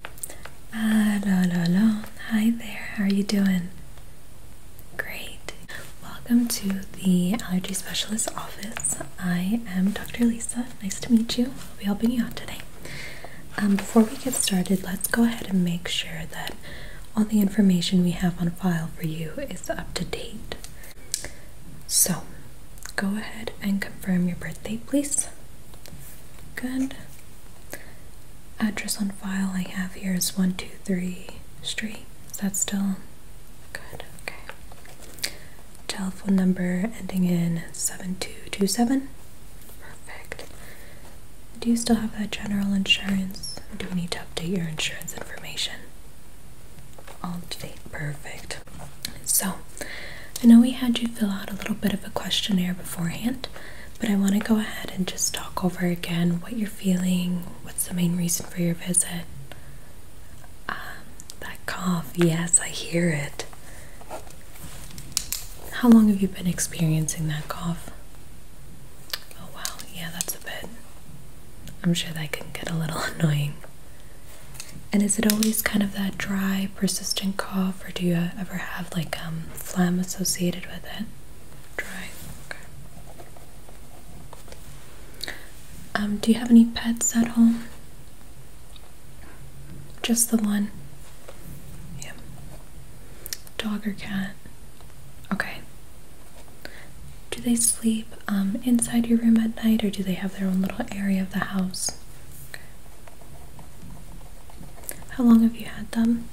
Hello, ah, hello, hi there, how are you doing? Great. Welcome to the Allergy Specialist office. I am Dr. Lisa, nice to meet you. I'll be helping you out today. Um, before we get started, let's go ahead and make sure that all the information we have on file for you is up to date. So, go ahead and confirm your birthday, please. Good. Address on file I have here is 123 Street. Is that still good? Okay. Telephone number ending in 7227. Perfect. Do you still have that general insurance? Do we need to update your insurance information? All date. Perfect. So, I know we had you fill out a little bit of a questionnaire beforehand, but I want to go ahead and just talk over again what you're feeling, what's the main reason for your visit. Um, that cough, yes, I hear it. How long have you been experiencing that cough? Oh, wow, yeah, that's a bit. I'm sure that can get a little annoying. And is it always kind of that dry, persistent cough or do you ever have like um, phlegm associated with it? Dry. Um, do you have any pets at home? Just the one? Yeah. Dog or cat? Okay. Do they sleep um, inside your room at night or do they have their own little area of the house? How long have you had them?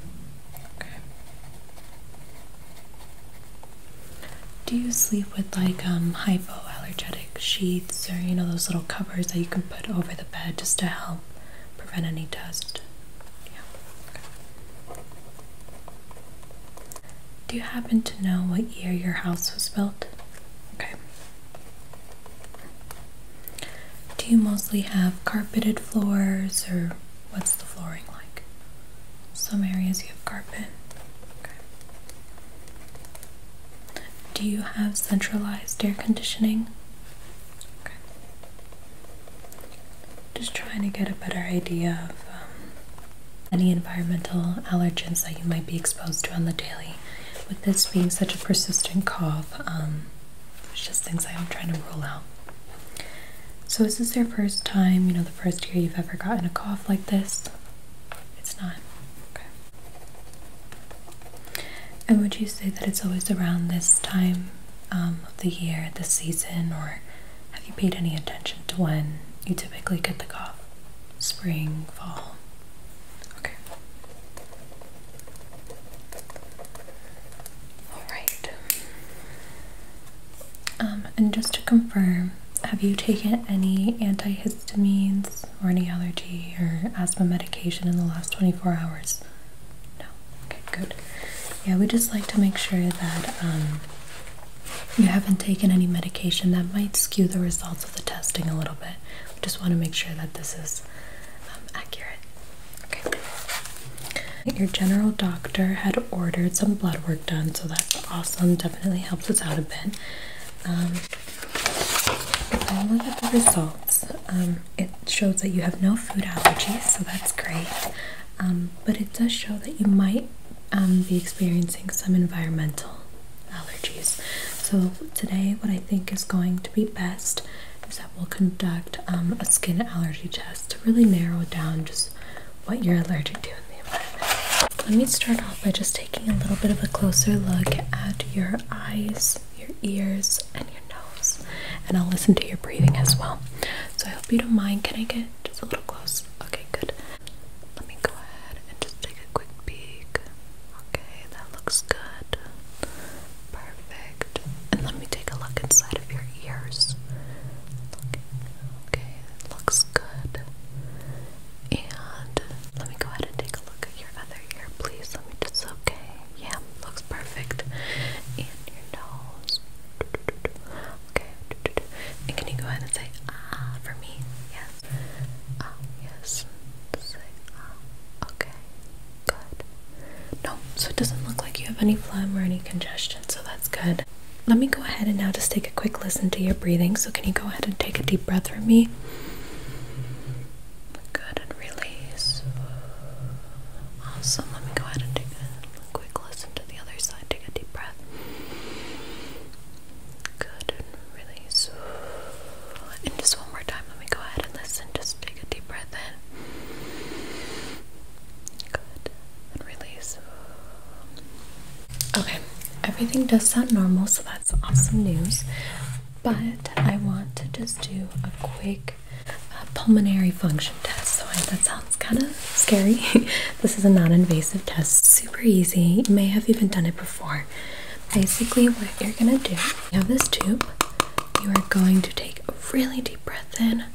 Do you sleep with like um, hypoallergenic sheets or you know those little covers that you can put over the bed just to help prevent any dust? Do you happen to know what year your house was built? Do you mostly have carpeted floors or what's the flooring like? Some areas you have carpet. Do you have centralized air conditioning? Just trying to get a better idea of um, any environmental allergens that you might be exposed to on the daily with this being such a persistent cough, um, it's just things I'm trying to rule out. So, is this your first time, you know, the first year you've ever gotten a cough like this? It's not. Okay. And would you say that it's always around this time um, of the year, this season, or have you paid any attention to when you typically get the cough? spring, fall. Okay. All right. Um, and just to confirm, have you taken any antihistamines or any allergy or asthma medication in the last 24 hours? No. Okay, good. Yeah, we just like to make sure that um, you haven't taken any medication that might skew the results the testing a little bit. just want to make sure that this is um, accurate. Okay. Your general doctor had ordered some blood work done, so that's awesome. Definitely helps us out a bit. Um, if I look at the results, um, it shows that you have no food allergies, so that's great. but it does show that you might be experiencing some environmental allergies. So today what I think is going to be best is that we'll conduct um, a skin allergy test to really narrow down just what you're allergic to in the environment. Let me start off by just taking a little bit of a closer look at your eyes, your ears, and your nose. And I'll listen to your breathing as well. So I hope you don't mind. Can I get just a little close? Okay, good. Let me go ahead and just take a quick peek Okay, that looks good. Perfect. And let me take a look inside of your ears. Okay, okay that looks good. And let me go ahead and take a look at your other ear, please. Let me just, okay. Yeah, looks perfect. And your nose. Okay. And can you go ahead and say ah for me? Yes. Ah, yes. Ah, okay. Good. No, so it doesn't look like you have any phlegm or any congestion, so that's good. Let me go ahead and now just take a quick listen to your breathing. So, can you go ahead and take a deep breath from me? Good, and release. Awesome. Let me go ahead and take a quick listen to the other side. Take a deep breath. Good, release. And just one more time, let me go ahead and listen. Just take a deep breath in. Good, and release. Okay, everything does sound normal, so that's awesome news. But I want to just do a quick uh, pulmonary function test. So that sounds kind of scary. this is a non invasive test, super easy. You may have even done it before. Basically, what you're gonna do, you have this tube, you are going to take a really deep breath in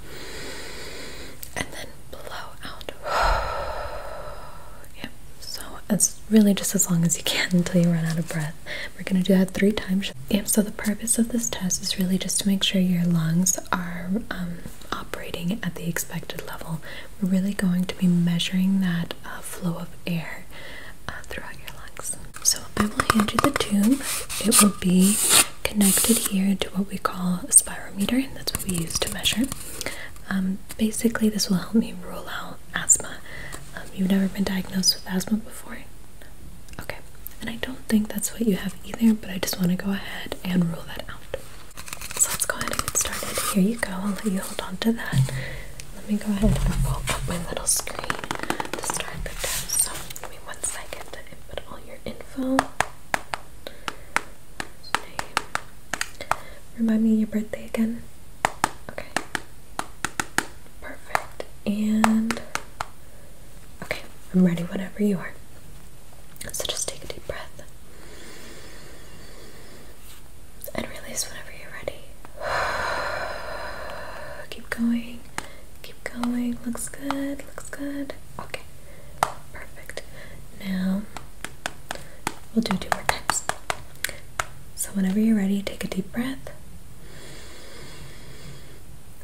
and then blow out. yep, so it's really just as long as you can until you run out of breath. We're gonna do that three times. Yep, so the purpose of this test is really just to make sure your lungs are um, operating at the expected level we're really going to be measuring that uh, flow of air uh, throughout your lungs. So I will hand you the tube. It will be connected here to what we call a spirometer, and that's what we use to measure. Um, basically, this will help me rule out asthma. Um, you've never been diagnosed with asthma before? Okay, and I don't think that's what you have either, but I just want to go ahead and rule that out. So let's go ahead and get started. Here you go. I'll let you hold on to that. Let me go ahead and pull up my little screen to start the test. So give me one second to input all your info. Remind me your birthday again. Okay. Perfect. And okay, I'm ready whenever you are. So just take a deep breath and release whenever you're ready. keep going, keep going. Looks good, looks good. Okay, perfect. Now we'll do two more times. So, whenever you're ready, take a deep breath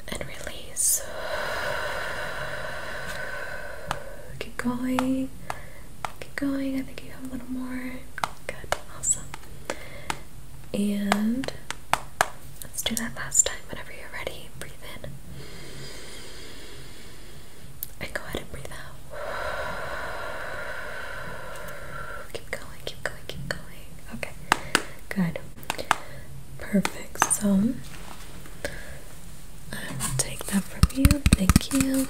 and release. Keep going. Keep going. I think you have a little more. Good, awesome. And let's do that last time whenever you're ready. Breathe in. And go ahead and breathe out. Keep going, keep going, keep going. Okay, good. Perfect. So I will take that from you. Thank you.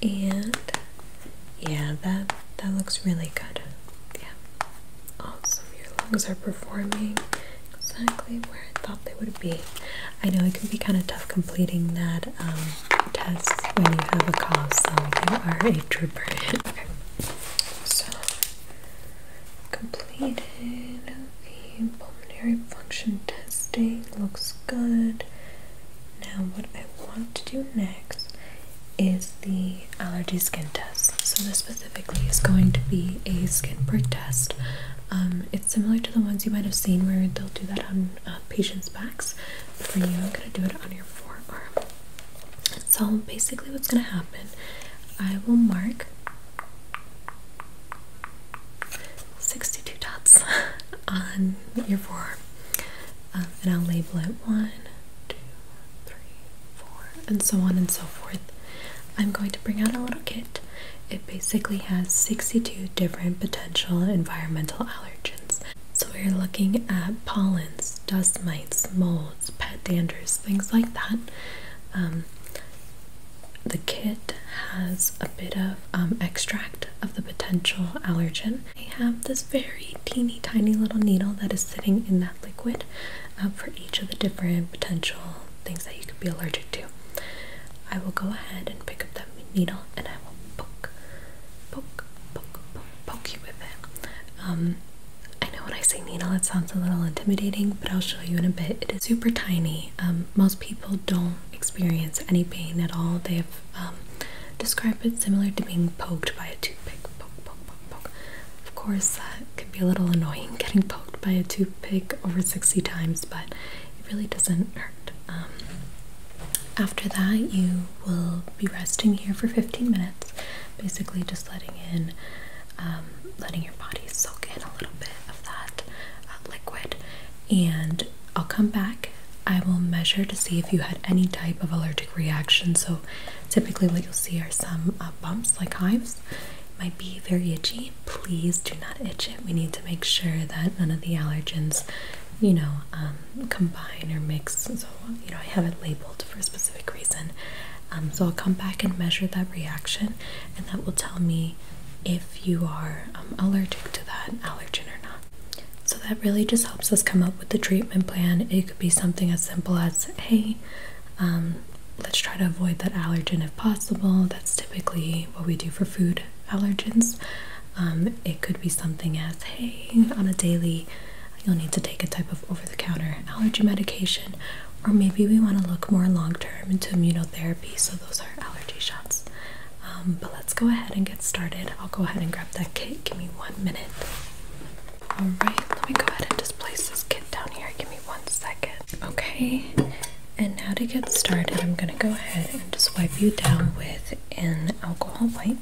And yeah, that that looks really good. Yeah. Awesome. Your lungs are performing exactly where I thought they would be. I know it can be kind of tough completing that um, test when you have a cough, so you are a trooper. okay. So completed. Okay pulmonary function testing looks good. Now, what I want to do next is the allergy skin test. So, this specifically is going to be a skin prick test. Um, it's similar to the ones you might have seen where they'll do that on uh, patients' backs. for you, I'm going to do it on your forearm. So, basically, what's going to happen, I will mark 62 dots on your forearm. Um, and I'll label it one, two, three, four, and so on and so forth. I'm going to bring out a little kit. It basically has 62 different potential environmental allergens. So we're looking at pollens, dust mites, molds, pet danders, things like that. Um, the kit has a bit of um, extract of the potential allergen. I have this very teeny tiny little needle that is sitting in that liquid uh, for each of the different potential things that you could be allergic to. I will go ahead and pick up that needle and I will poke, poke, poke, poke, you with it. Um, I know when I say needle it sounds a little intimidating, but I'll show you in a bit. It is super tiny. Um, most people don't experience any pain at all. They have um, described it similar to being poked by a toothpick. Poke, poke, poke, poke. Of course, that uh, can be a little annoying getting poked by a toothpick over 60 times, but it really doesn't hurt. Um, after that, you will be resting here for 15 minutes, basically just letting in um, letting your body soak in a little bit of that uh, liquid. And I'll come back. I will measure to see if you had any type of allergic reaction. So, typically, what you'll see are some uh, bumps like hives. might be very itchy. Please do not itch it. We need to make sure that none of the allergens, you know, um, combine or mix. So, you know, I have it labeled for a specific reason. Um, so, I'll come back and measure that reaction, and that will tell me if you are um, allergic to that allergen or not. So that really just helps us come up with the treatment plan. It could be something as simple as, hey, um, let's try to avoid that allergen if possible. That's typically what we do for food allergens. Um, it could be something as, hey, on a daily, you'll need to take a type of over the counter allergy medication or maybe we want to look more long term into immunotherapy, so those are allergy shots. Um, but let's go ahead and get started. I'll go ahead and grab that kit. Give me one minute. All right, let me go ahead and just place this kit down here. Give me one second. Okay, and now to get started, I'm going to go ahead and just wipe you down with an alcohol wipe.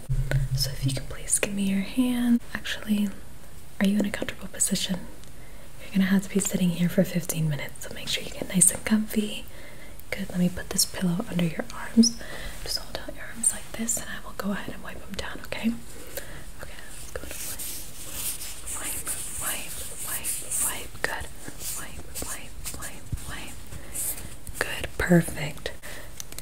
So if you can please give me your hand. Actually, are you in a comfortable position? You're gonna have to be sitting here for 15 minutes, so make sure you get nice and comfy. Good, let me put this pillow under your arms. Just hold out your arms like this, and I will go ahead and wipe them down, okay? Okay, let's go wipe, wipe, wipe, wipe, good. Wipe, wipe, wipe, wipe. Good, perfect.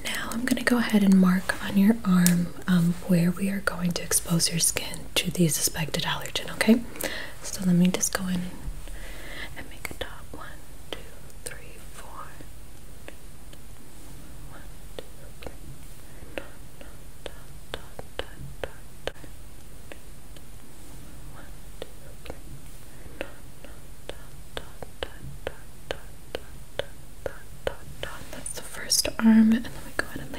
Now I'm gonna go ahead and mark on your arm um, where we are going to expose your skin to the suspected allergen, okay? So let me just go in and make a dot. One, two, three, four. One, two, three. Dot, dot, dot, dot, dot, dot. One, two, three. Dot, dot, dot, dot, dot, dot, dot, dot, dot, dot, dot. That's the first arm, and then we go ahead and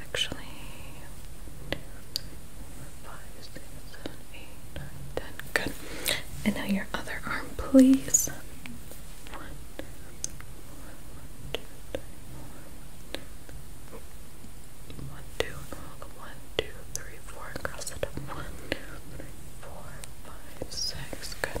Actually, five, six, seven, eight, nine, ten. Good. And now your other arm, please. One, two, three, four. One, Cross it One, two, three, four, five, six. Good.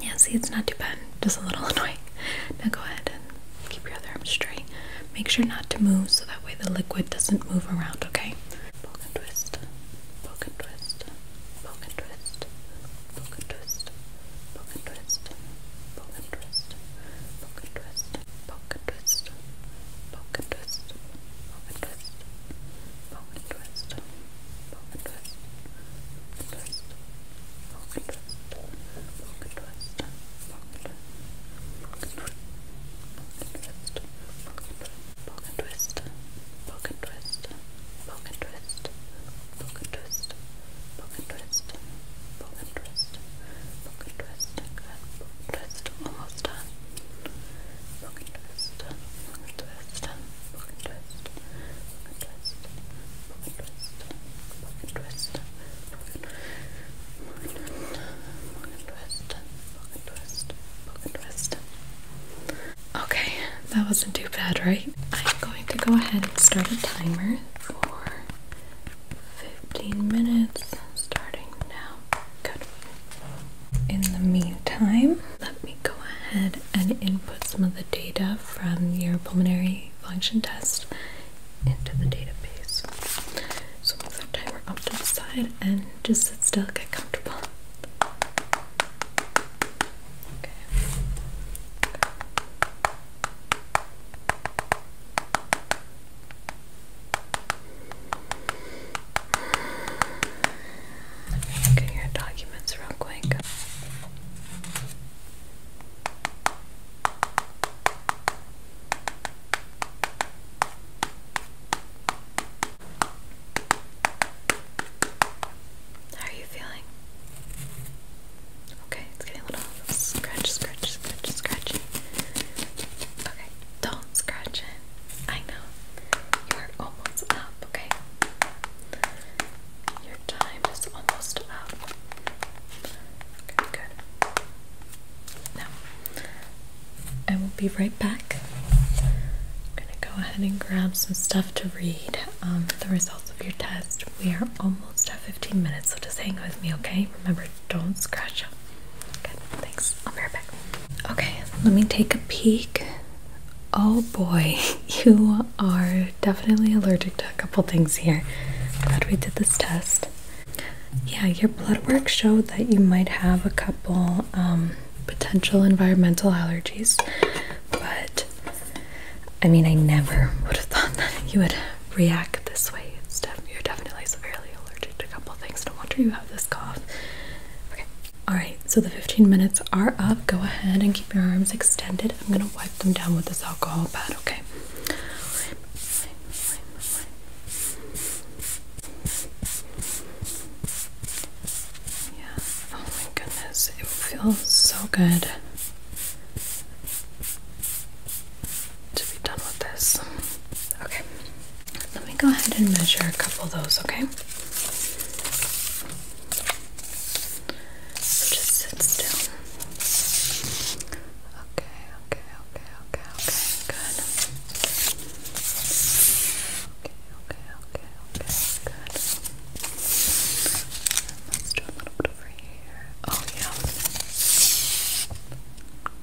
yeah, see, it's not too bad. Just a little annoying. Now go ahead and keep your other arm straight. Make sure not to move so that way the liquid doesn't move around, okay? Bone twist. Bone twist. Twist. Bone twist. Bone twist. Bone twist. Twist, pocket twist, pocket twist, pocket twist, pocket twist, pocket twist, pocket twist, pocket twist, pocket twist, almost done. Okay, that wasn't too bad, right? I'm going to go ahead and start a timer for 15 minutes starting now. Good. In the meantime, let me go ahead and input some of the data from your pulmonary function test into the database. So move the timer up to the side and just sit still, get comfortable. Okay. Look at your documents real quick. How are you feeling? Okay, it's getting a little scratch, scratch, scratch, scratchy. Okay, don't do I know. You are almost up, okay? Your time is almost up. Good, good. Now, I will be right back. I'm gonna go ahead and grab some stuff to read. Um, the results of your test. We are almost at 15 minutes, so just hang with me, okay? Remember, don't scratch up. Good, thanks. I'll be right back. Okay, let me take a peek. Oh boy, you are definitely allergic to a couple things here. Glad we did this test. Yeah, your blood work showed that you might have a couple um, potential environmental allergies, but I mean, I never would have thought that you would react this way. It's you're definitely severely allergic to a couple things. No wonder you have this cough. Okay, all right, so the 15 minutes are up. Go ahead and keep your arms extended. I'm gonna wipe them down with this alcohol pad, okay? Yeah, oh my goodness, it feels so good to be done with this. Okay, let me go ahead and measure a couple of those, okay? just sit still. Okay, okay, okay, okay, okay, good. Okay, okay, okay, okay, good. Let's do a little bit over here. Oh, yeah.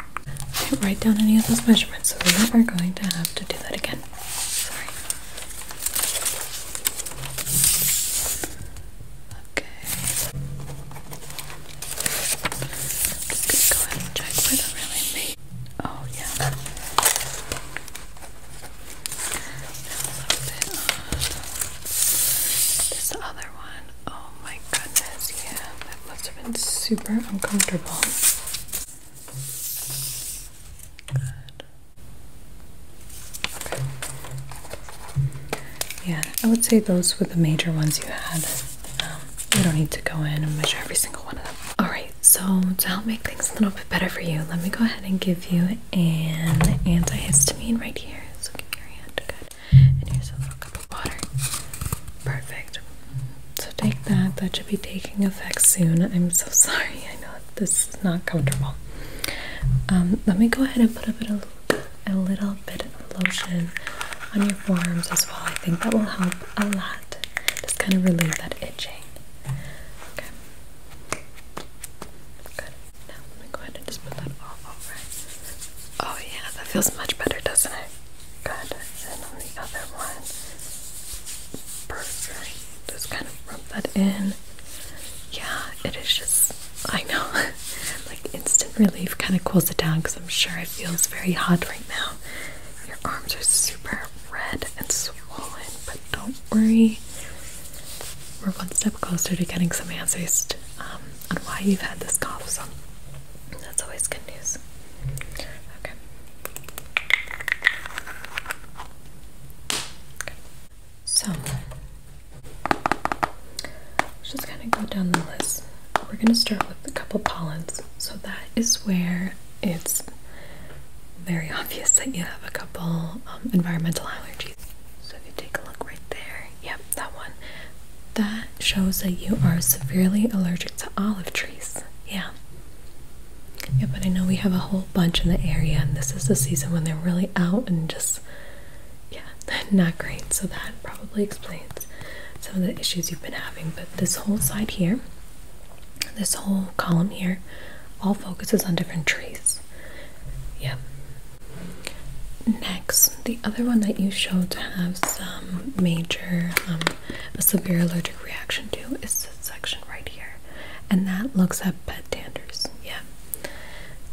I didn't write down any of those measurements, so we are going to have to do that again. Sorry. Okay. Oh, this other one. Oh my goodness, yeah, that must have been super uncomfortable. Yeah, I would say those were the major ones you had. Um, you don't need to go in and measure every single one of them. Alright, so to help make things a little bit better for you, let me go ahead and give you an antihistamine right here. So give your hand. Good. And here's a little cup of water. Perfect take that. That should be taking effect soon. I'm so sorry. I know this is not comfortable. Um, let me go ahead and put a bit of a little bit of lotion on your forearms as well. I think that will help a lot. Just kind of relieve that itching. Okay. Good. Now let me go ahead and just put that all over. Oh yeah, that feels much better, doesn't it? Good. And on the other one. Just kind of rub that in. Yeah, it is just, I know, like instant relief kind of cools it down because I'm sure it feels very hot right now. Your arms are super red and swollen, but don't worry. We're one step closer to getting some answers um, on why you've had this cough. So that's always good news. Okay. okay. So, let's just kind of go down the list. We're going to start with a couple pollens. So, that is where it's very obvious that you have a couple um, environmental allergies. So, if you take a look right there, yep, that one. That shows that you are severely allergic to olive trees. Yeah. Yeah, but I know we have a whole bunch in the area, and this is the season when they're really out and just, yeah, not great. So that probably explains some of the issues you've been having. But this whole side here, this whole column here, all focuses on different trees. Yeah. Next, the other one that you showed to have some major um, a severe allergic reaction to is this section right here, and that looks at pet danders. Yeah.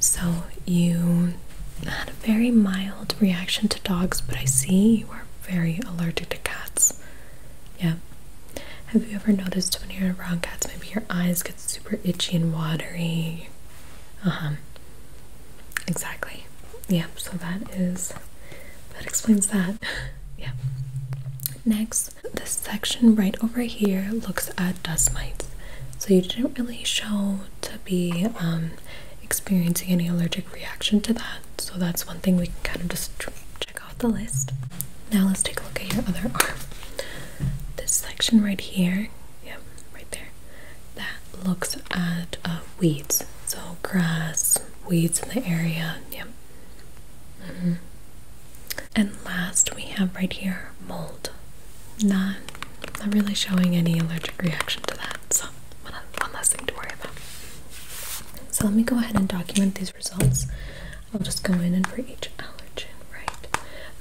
So you had a very mild reaction to dogs, but I see you are very allergic to cats. Yeah. Have you ever noticed when you're around cats, maybe your eyes get super itchy and watery? Uh huh. Exactly. Yeah, so that is that explains that. yeah. Next, this section right over here looks at dust mites. So you didn't really show to be um, experiencing any allergic reaction to that. So that's one thing we can kind of just check off the list. Now let's take a look at your other arm. This section right here, yeah, right there, that looks at uh, weeds. So grass, weeds in the area. Yep. Mm-hmm. And last, we have right here mold. Not, not really showing any allergic reaction to that. So one, one less thing to worry about. So let me go ahead and document these results. I'll just go in and for each allergen, right?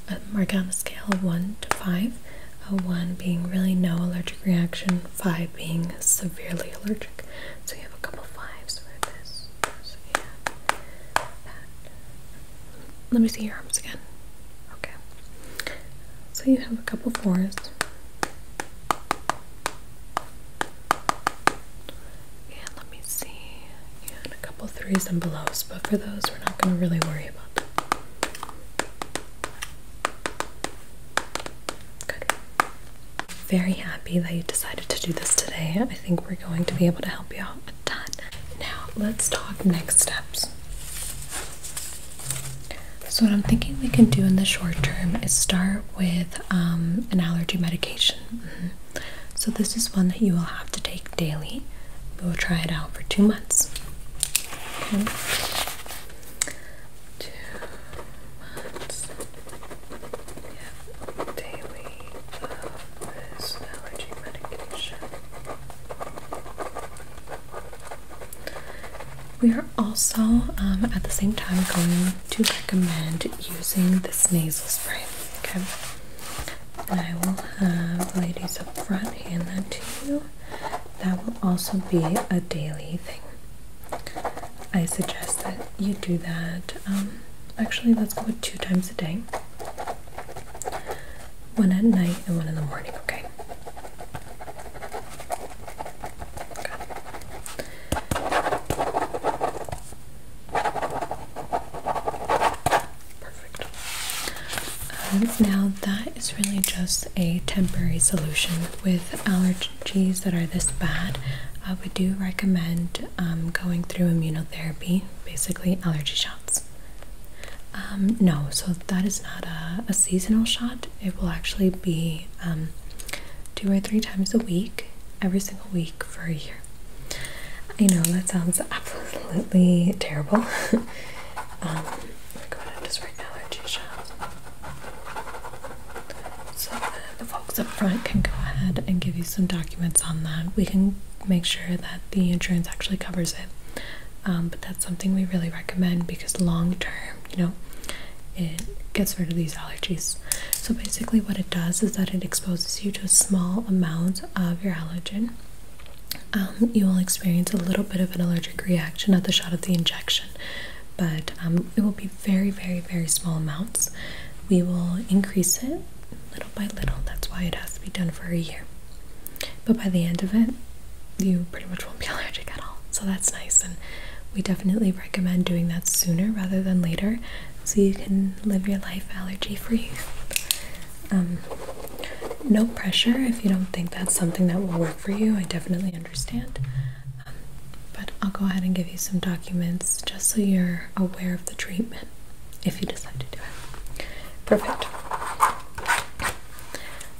Uh, mark on a scale of one to five uh, 1 being really no allergic reaction, 5 being severely allergic. So you have a couple fives Let me see your arms again. Okay. So you have a couple fours. And let me see. You had a couple threes and belows, but for those, we're not going to really worry about them. Very happy that you decided to do this today. I think we're going to be able to help you out a ton. Now, let's talk next steps. So, what I'm thinking we can do in the short term is start with um, an allergy medication. Mm-hmm. So, this is one that you will have to take daily. We will try it out for two months two months. We daily of this allergy medication. We are also um, at the same time going to recommend using this nasal spray. Okay. And I will have ladies up front hand that to you that will also be a daily thing. I suggest that you do that. Um, actually, let's do it two times a day one at night and one in the morning, okay. Perfect now that is really just a temporary solution with allergies that are this bad. Uh, we do recommend um, going through immunotherapy, basically allergy shots. Um, no, so that is not a, seasonal shot. It will actually be um, two or three times a week, every single week for a year. I know that sounds absolutely terrible. um, oh my god, I just right now So the folks up front can go ahead and give you some documents on that. We can make sure that the insurance actually covers it. Um, but that's something we really recommend because long term, you know, it gets rid of these allergies. So basically what it does is that it exposes you to a small amount of your allergen um, you will experience a little bit of an allergic reaction at the shot of the injection, but um, it will be very, very, very small amounts. We will increase it little by little. That's why it has to be done for a year. But by the end of it, you pretty much won't be allergic at all. So that's nice. And we definitely recommend doing that sooner rather than later so you can live your life allergy free. Um, no pressure if you don't think that's something that will work for you. I definitely understand. Um, but I'll go ahead and give you some documents just so you're aware of the treatment if you decide to do it. Perfect.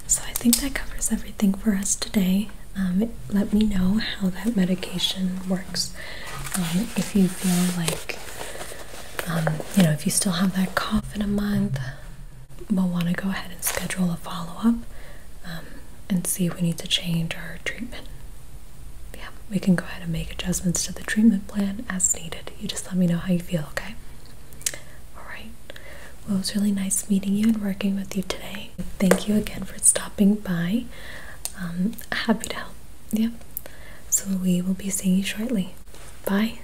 So I think that covers everything for us today. Um, let me know how that medication works. Um, if you feel like, you know, if you still have that cough in a month, we'll want to go ahead and schedule a follow up um, and see if we need to change our treatment. Yeah, we can go ahead and make adjustments to the treatment plan as needed. You just let me know how you feel, okay? Alright, well, it was really nice meeting you and working with you today. Thank you again for stopping by. Um, happy to help. Yep. Yeah. So we will be seeing you shortly. Bye.